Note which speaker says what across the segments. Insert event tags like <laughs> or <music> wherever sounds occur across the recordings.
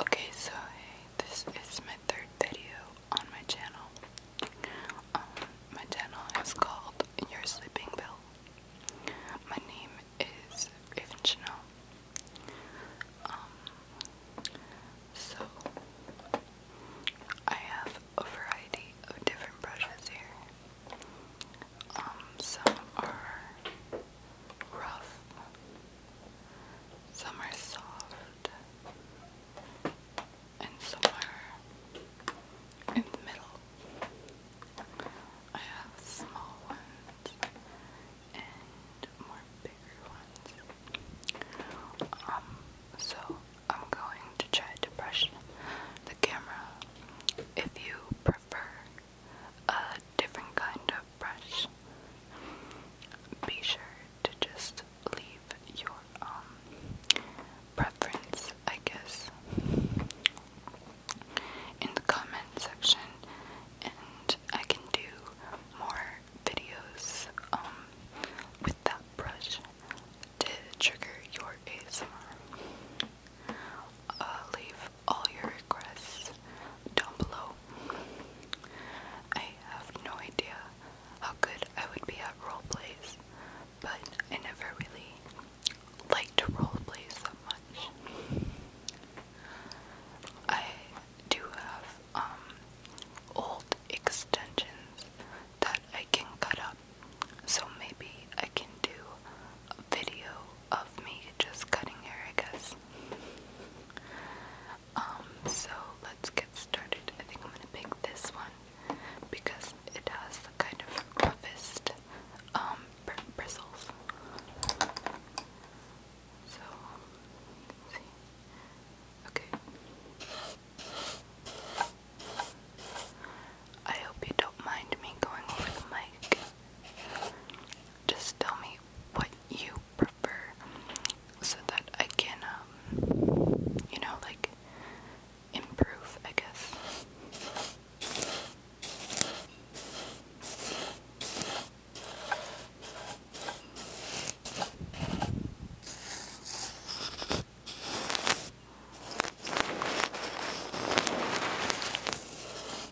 Speaker 1: Okay, so this is my third video on my channel. Um, my channel is called Your Sleeping Pill. My name is Raven Chanel. Um, so I have a variety of different brushes here. Um, some are rough, some are soft, and some are in the middle. I have small ones and more bigger ones. Um, so I'm going to try to brush the camera. If you prefer a different kind of brush, be sure to just leave your um, preference, I guess, in the comment section, and I can do more videos um, with that brush to trigger your ASMR. Uh, leave all your requests down below. I have no idea how good I would be at role but I never really liked to that much. I do have um, old extensions that I can cut up, so maybe I can do a video of me just cutting hair, I guess. Um, so let's get started. I think I'm gonna pick this one because it has the kind of roughest um, bristles. So Okay. I hope you don't mind me going over the mic just tell me what you prefer so that I can, um, you know, like improve, I guess.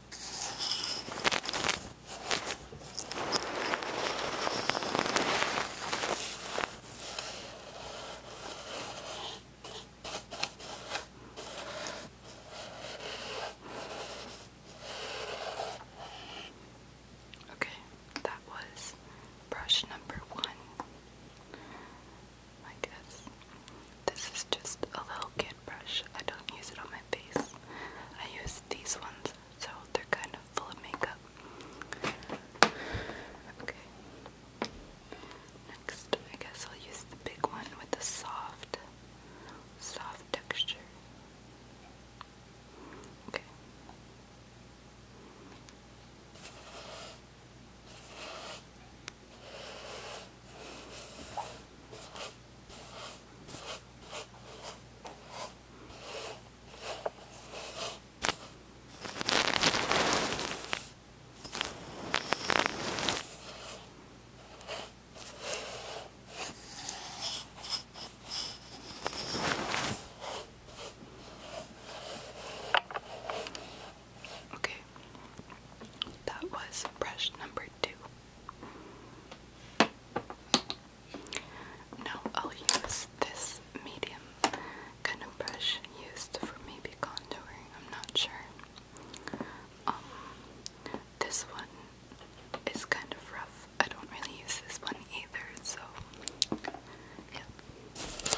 Speaker 1: Okay, that was brush number one. I guess this is just a little gift brush. I don't use it on my face. I use these ones, so they're kind of full of makeup. Okay. Next, I guess I'll use the big one with the soft, soft texture. Okay. Okay, that was brush number two. Now I'll use this medium kind of brush used for maybe contouring, I'm not sure. Um, this one is kind of rough. I don't really use this one either, so yeah.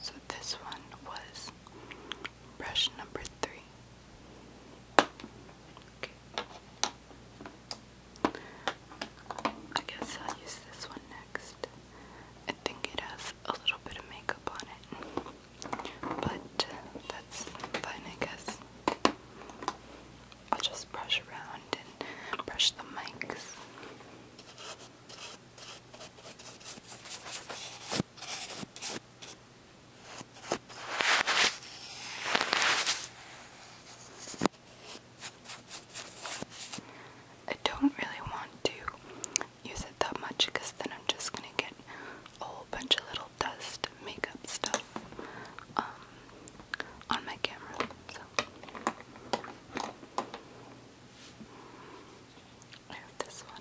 Speaker 1: So this one was brush number three. Okay. I guess I'll use this one next. I think it has a little bit of makeup on it, but that's fine, I guess. I'll just brush around and brush the mics. I don't really want to use it that much because then I'm just going to get a whole bunch of little dust makeup stuff um, on my camera. So I have this one.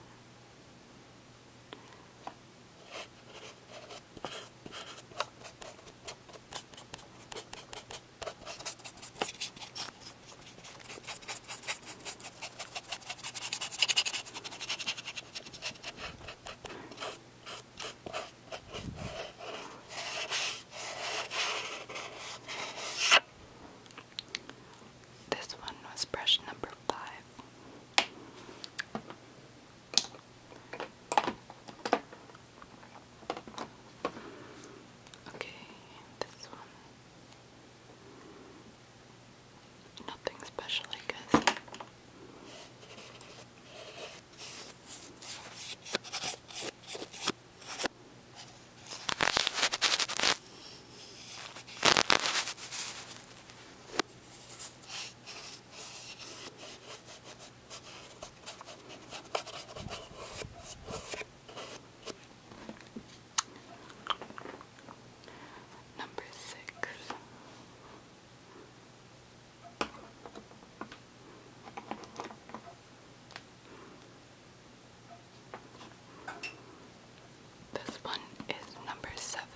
Speaker 1: This one was brush number five. Okay, this one nothing special, I guess. Number six. This one is number seven.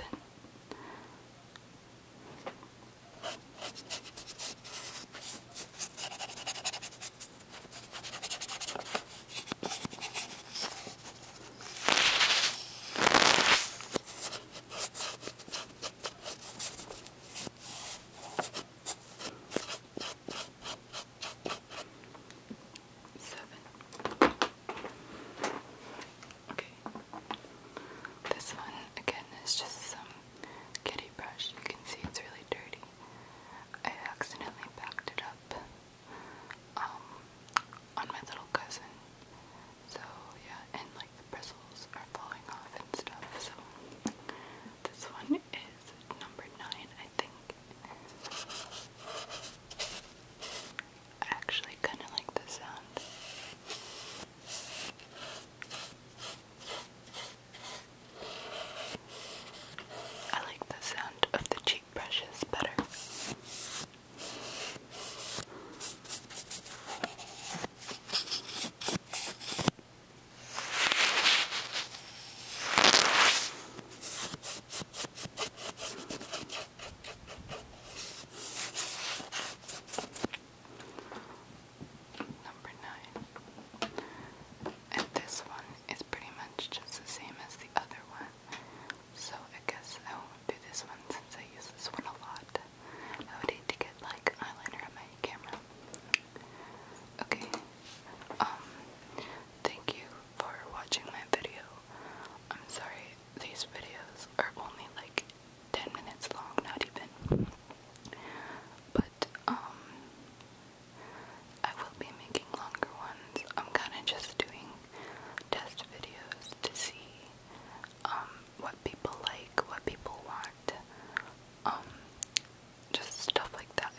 Speaker 1: Seven. Okay. This one again is just some kitty brush. You can see it's really dirty. I accidentally backed it up. Um, on my little cousin. So yeah, and like the bristles are falling off and stuff. So this one is number nine, I think. I actually kind of like the sound. I like the sound of the cheek brushes better. Number nine. And this one is pretty much just the same as the other one, so I guess I won't do this one since I use this one a lot. I would hate to get like eyeliner on my camera. Okay. Um thank you for watching my video. I'm sorry these videos are only like 10 minutes long, not even. But um I will be making longer ones. I'm kind of just doing test videos to see um, what people like, what people want, um, just stuff like that.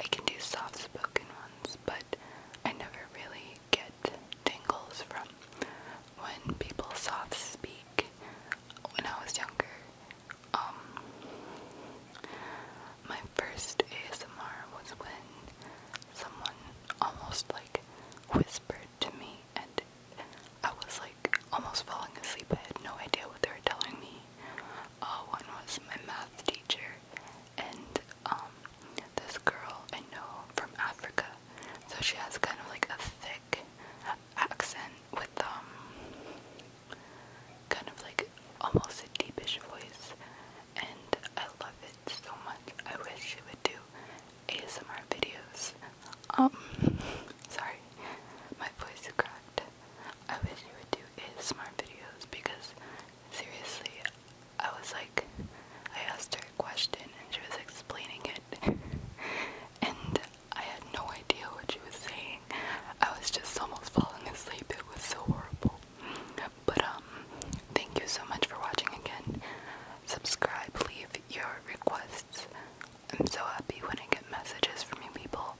Speaker 1: I can do soft spoken ones, but I never really get tingles from when people soft speak. When I was younger, um, my first ASMR was when someone almost whispered to me and I was like almost falling asleep. I had no idea what they were telling me. Uh, one was my math teacher and um, this girl I know from Africa. So she has kind of like a thick accent with um kind of like almost a deepish voice and I love it so much. I wish she would do ASMR videos. Um, <laughs> sorry, my voice cracked. I wish you would do ASMR videos because seriously, I was like, I asked her a question and she was explaining it, <laughs> and I had no idea what she was saying. I was just almost falling asleep. It was so horrible. But um, thank you so much for watching again subscribe, leave your requests. I'm so happy when I get messages from you people.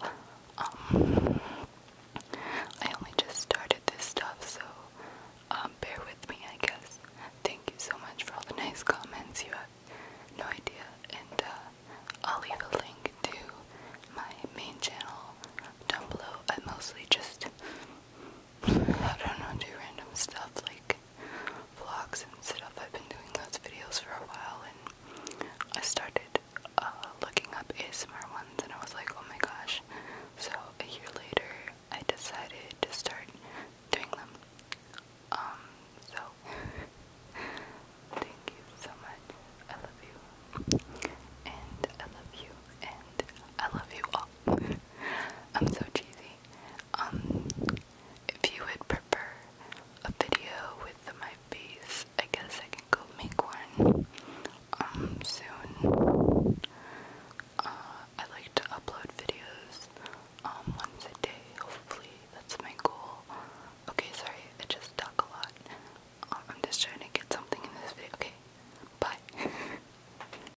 Speaker 1: Um, I only just started this stuff, so um, bear with me, I guess. Thank you so much for all the nice comments. You have no idea, and uh, I'll leave a link to my main channel down below. I mostly just I don't know, do random stuff like vlogs and stuff. I've been doing those videos for a while and I started uh, looking up ASMR ones and I was like, oh my gosh. So a year later, I decided to start doing them. Um, so thank you so much. I love you. And I love you. And I love you all. <laughs> I'm so cheesy. Um, if you would prefer a video with my face, I guess I can go make one um, soon. Uh, I like to upload videos um, once a day. Hopefully, that's my goal. Okay, sorry, I just talk a lot. Uh, I'm just trying to get something in this video. Okay, bye. <laughs>